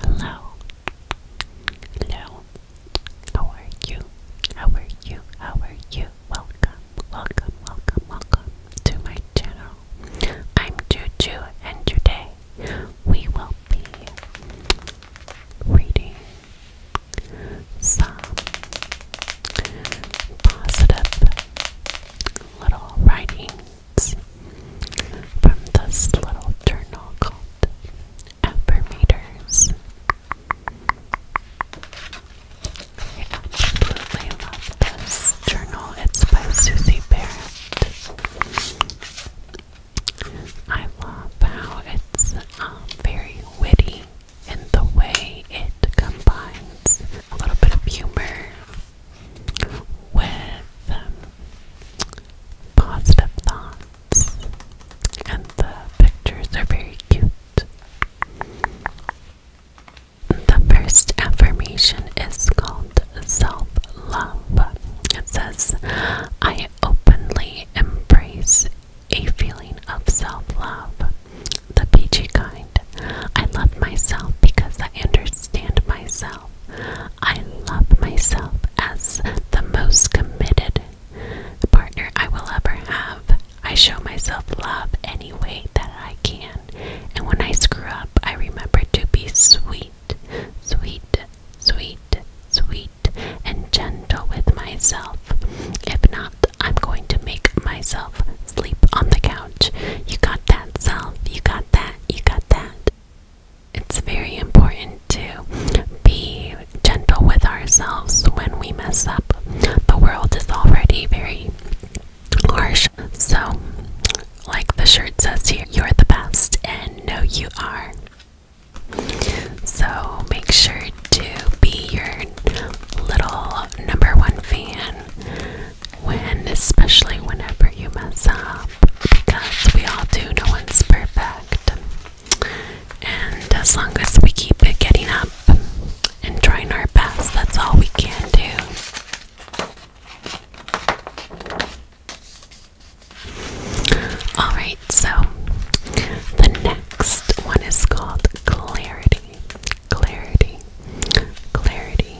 Hello. Hello. How are you? How are you? How are you? Welcome, welcome, welcome, welcome to my channel. I'm Juju and today we will be reading some positive little writing from this little journal called Epimeters. I absolutely love this journal. It's by Susie Barrett. I love how it's um, very witty in the way it combines a little bit of humor with um, positive thoughts, and the pictures are very cute. The first affirmation is called self love. It says, I openly embrace a feeling of self love, the peachy kind. I love myself because I understand myself. I love myself as the most committed partner I will ever have. I show myself love any way that I can. And when I screw up, I remember to be sweet, sweet, sweet, sweet, and gentle with myself. If not, I'm going to make myself sleep on the couch. You got that, self. You got that. You got that it's very important to be gentle with ourselves when we mess up. The world is already very harsh. So, like the shirt says here, you're the best, and know you are. So, make sure to be your little number one fan when, especially whenever you mess up because we all do, no one's perfect. And as long as we keep it getting up and trying our best, that's all we can do. Alright, so the next one is called Clarity. Clarity. Clarity.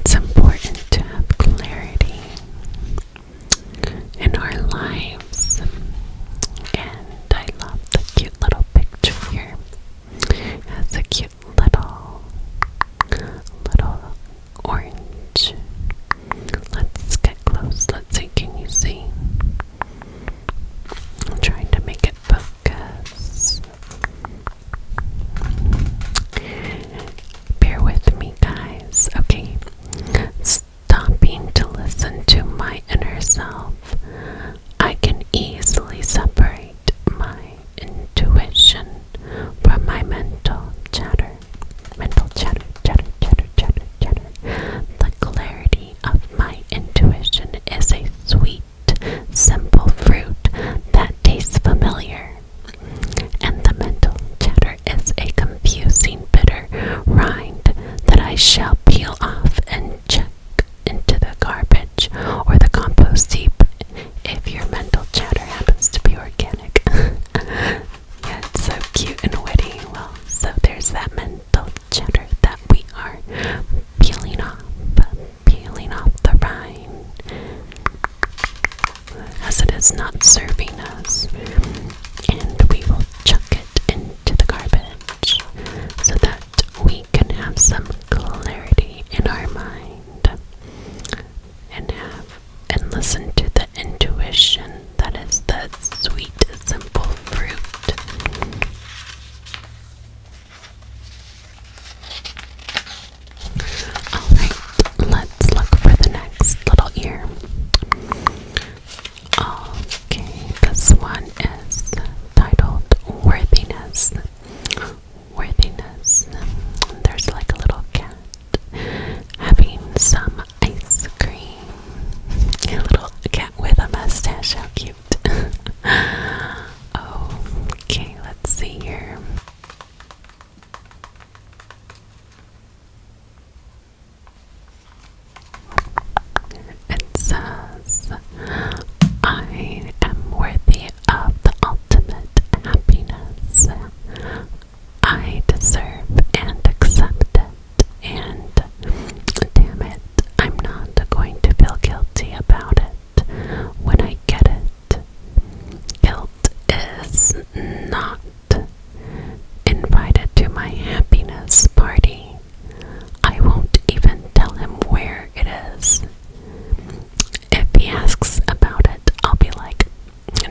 It's important to have clarity in our lives. And I love the cute little picture here. It has a cute little little orange Let's get close. Let's see. Can you see? I'm trying to make it focus. Bear with me, guys. Okay. Stopping to listen to my inner self, I can easily separate my intuition from my mental chatter. Mental chatter chatter, chatter, chatter, chatter. The clarity of my intuition is a sweet, simple fruit that tastes familiar. And the mental chatter is a confusing, bitter rind that I shall peel off and check into the garbage or the compost heap if your mental chatter happens to be organic. yeah, it's so cute and witty. Well, so there's that mental the cheddar that we are peeling off, peeling off the rind, as it is not serving us, and we will chuck it into the garbage so that we can have some clarity in our mind and have and listen to the intuition that is the sweet simple fruit. Alright, let's look for the next little ear. Okay, this one is titled Worthiness. Worthiness. There's like a little cat having some ice cream. A little cat with a mustache, how cute. okay, let's see here. It says, I am worthy of the ultimate happiness. I deserve and accept and damn it, I'm not going to feel guilty about it when I get it. Guilt is not invited to my happiness party. I won't even tell him where it is. If he asks about it, I'll be like,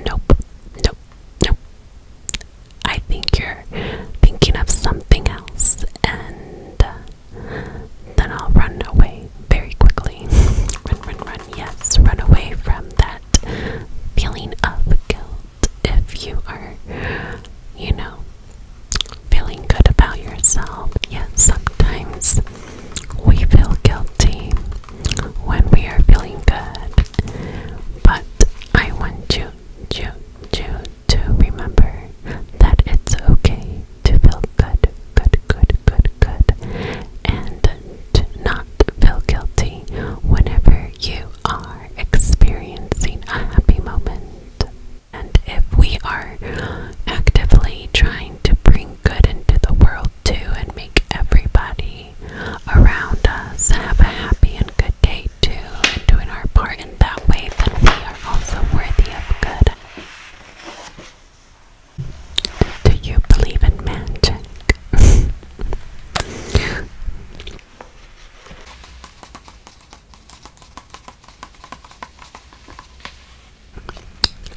nope, nope, nope, I think you're thinking of something else, and uh, then I'll run away very quickly. run, run, run. Yes, run away from that feeling of guilt if you are, you know, feeling good about yourself. Yes, sometimes we feel guilty when we are feeling good, but I want you you, you to remember that it's okay to feel good, good, good, good, good, and to not feel guilty whenever you are experiencing a happy moment. And if we are actively trying to bring good into the world too and make everybody around us have a happy and good good day too and doing our part in that way, but we are also worthy of good. Do you believe in magic?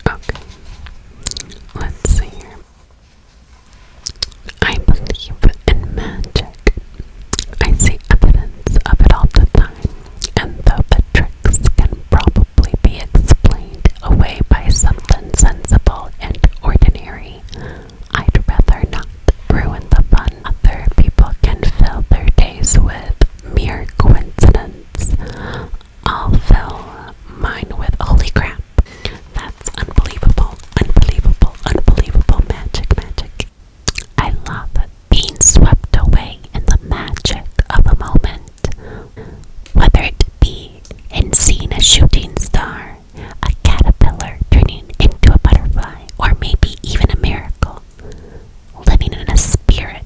okay. Let's see here. I believe in magic. I see evidence of it all the time, and though the tricks can probably be explained away by something sensible and ordinary, I'd rather not ruin the fun. Other people can fill their days with mere coincidence. I'll fill mine with holy crap. That's unbelievable, unbelievable, unbelievable magic, magic. I love being swept away in the magic of a moment. Whether it be in seeing a shooting star, a caterpillar turning into a butterfly, or maybe even a miracle. Living in a spirit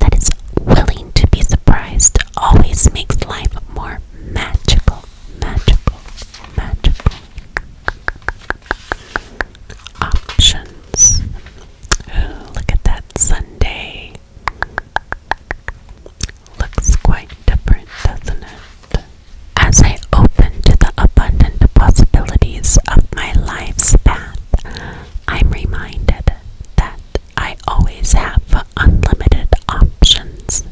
that is willing to be surprised always makes life more magical, magical, magical. Options. look at that Sunday. Looks quite different, doesn't it? As I open to the abundant possibilities of my life's path, I'm reminded that I always have unlimited options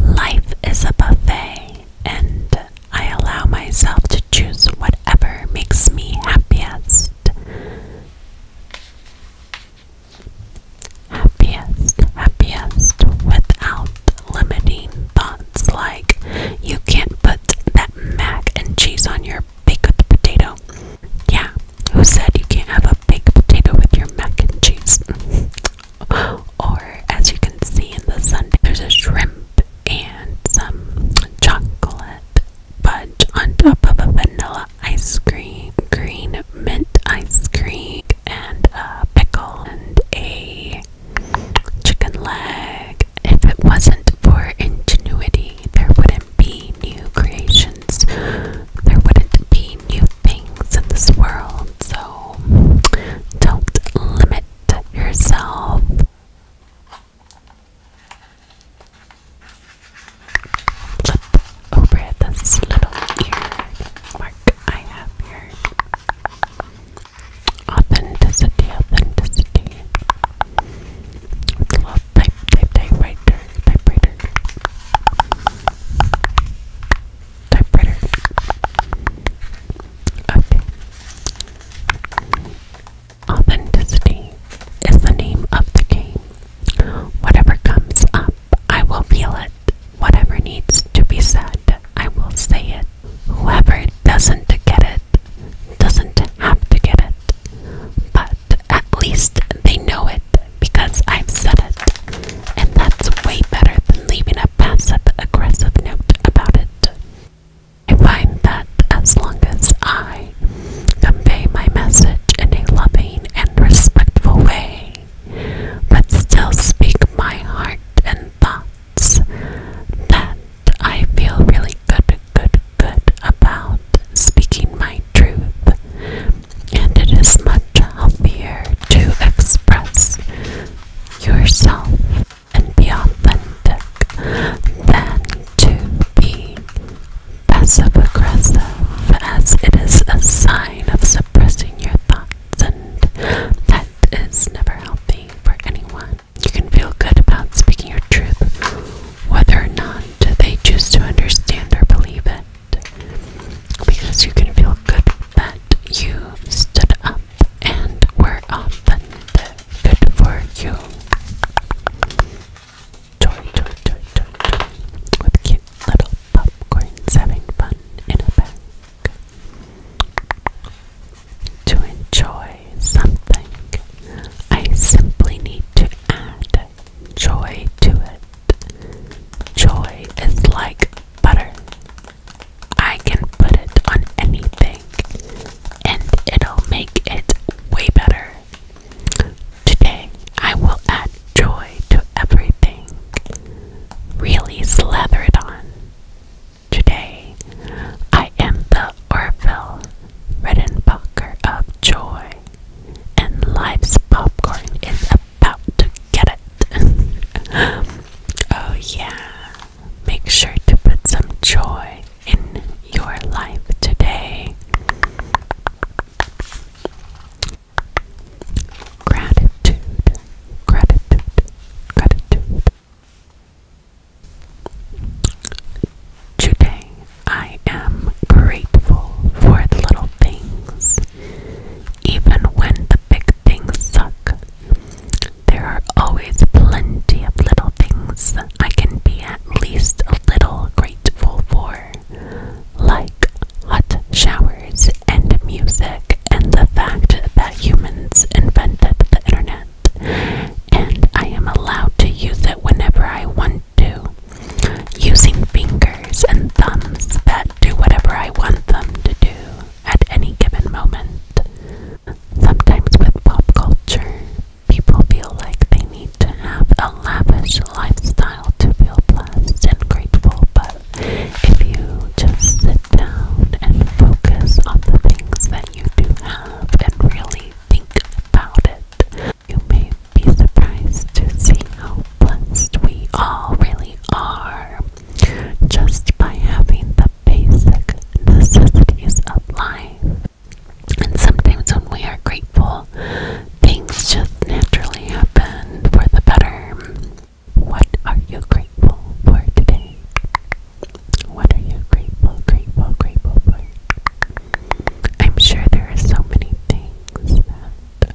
Life is a buffet, and I allow myself to choose whatever makes me happiest. Happiest, happiest, without limiting thoughts like you can't put that mac and cheese on your baked potato. Yeah, who said you can't have a baked potato with your mac and cheese? or as you can see in the sundae, there's a shrimp and some chocolate fudge on top of a vanilla ice cream, green mint ice cream, and a pickle and a chicken leg. If it wasn't for ingenuity, there wouldn't be new creations. There wouldn't be new things in this world. So don't limit yourself. Flip over this little mark I have here. Authenticity, authenticity. Love type, type, typewriter. Okay. Authenticity is the name of the game. Whatever comes up, I will feel it. Whatever needs to be said, I will say it. Whoever doesn't get it doesn't have to get it, but at least they know it because i said it. And that's way better than leaving a passive aggressive note about it. I find that as long as I convey my message in a loving and respectful way, but still speak my heart and thoughts, that I feel really good, good, good about speaking my truth. And it is much much healthier to express yourself and be authentic than to be passive aggressive, as it is a sign of suppressing your thoughts, and that is never healthy for anyone. You can feel good about speaking your truth, whether or not they choose to understand or believe it because you can feel good that you stood up and were up authentic. Good for you. joy, joy, joy, joy. With cute little popcorns having fun in a bag. To enjoy something, I simply need to add joy to it. Joy is like butter. I can put it on anything and it'll make it way better. Today, I will add joy to everything. Really slather it on. Today, I am the Orville Redenbacher of joy, and life's popcorn is a about to get it. oh, yeah. Make sure to put some joy in your life today. Gratitude, gratitude, gratitude. Today I am grateful for the little things. Even when the big things suck, there are always plenty of little things I can be at least a little grateful for, like hot showers and music, and the fact that humans invented the internet, and I am allowed to use it whenever I want to. Using fingers and thumbs that do whatever I want them to do at any given moment. Sometimes with pop culture, people feel like they need to have a lavish lifestyle to feel blessed and grateful, but if you just sit down and focus on the things that you do have and really think about it, you may be surprised to see how blessed we all really are just by having the basic necessities of life. And sometimes when we are grateful, things just naturally happen for the better. What are you grateful for today? What are you grateful, grateful, grateful for? I'm sure there are so many things that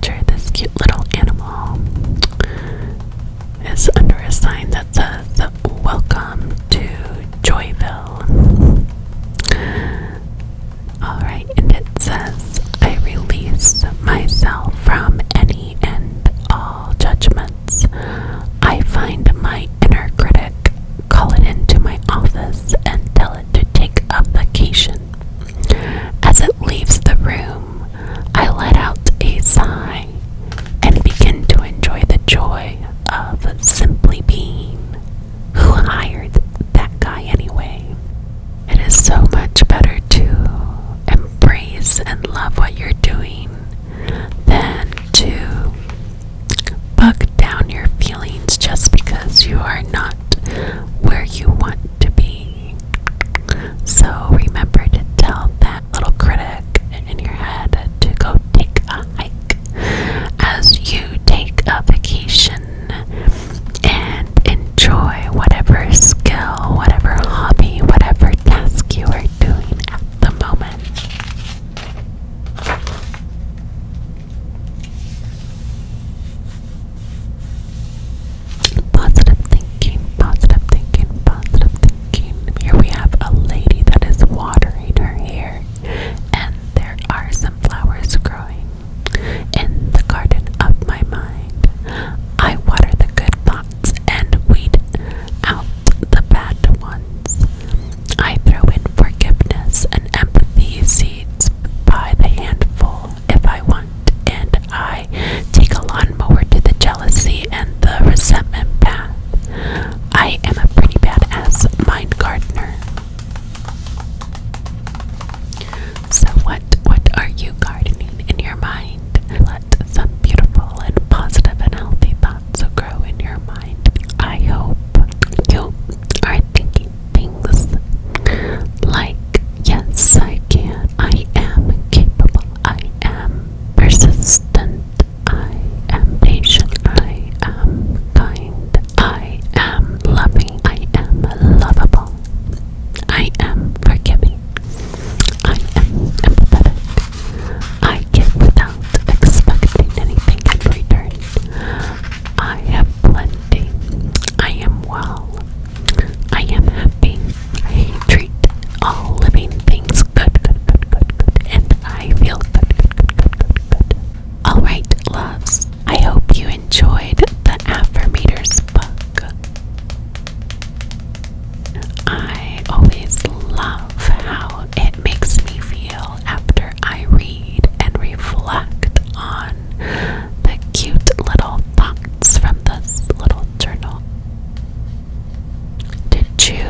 picture, this cute little animal is under a sign that says, Welcome to Joyville. Alright, and it says, I release myself from any and all judgments. I find my inner critic, call it into my office, and tell it to take a vacation. As it leaves the room, I let out a sigh and begin to enjoy the joy of simply being. Who hired that guy anyway? It is so much better to embrace and love what you're doing than to buck down your feelings just because you are not where you want to be. So remember to tell that little critic in your head to go take a hike as you take a vacation and enjoy whatever skill, whatever hobby, whatever task you are doing at the moment. Positive thinking, positive thinking, positive thinking. Here we have a lady that is watering her hair, and there are some flowers growing in the garden of my mind. I water the good thoughts and weed out the bad ones. I throw in forgiveness and empathy seeds by the handful if I want, and I take a lawnmower to the jealousy and the resentment path. I am a pretty badass mind gardener. So what what are you gardening in your mind? Let some beautiful and positive and healthy thoughts grow in your mind. I hope you are thinking things like yes I can I am capable. I am persistent. I am patient. I am kind. I am loving. I am lovable. I am forgiving. I am empathetic. I give without expecting anything in return. I have plenty. I am well. I am happy. I treat all living things good, and I feel good, good, good, good, good. All right, loves. I hope you enjoyed the Affirmators book. I always love how it makes me feel after I read and reflect on the cute little thoughts from this little journal. Did you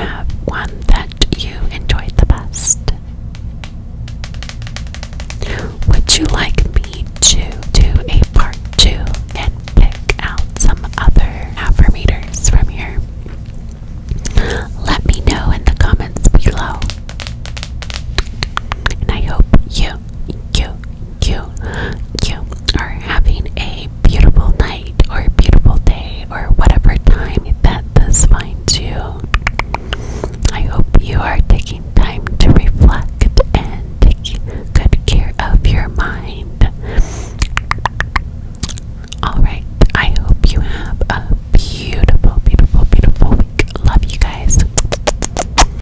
have one that you enjoyed the best? Would you like me to do a part two and pick out some other affirmators from here? Let me know in the comments below. And I hope you, you, you, you are having a beautiful night or beautiful day or whatever time that this finds you. I hope you are taking time to reflect and take good care of your mind. Alright, I hope you have a beautiful, beautiful, beautiful week. Love you guys.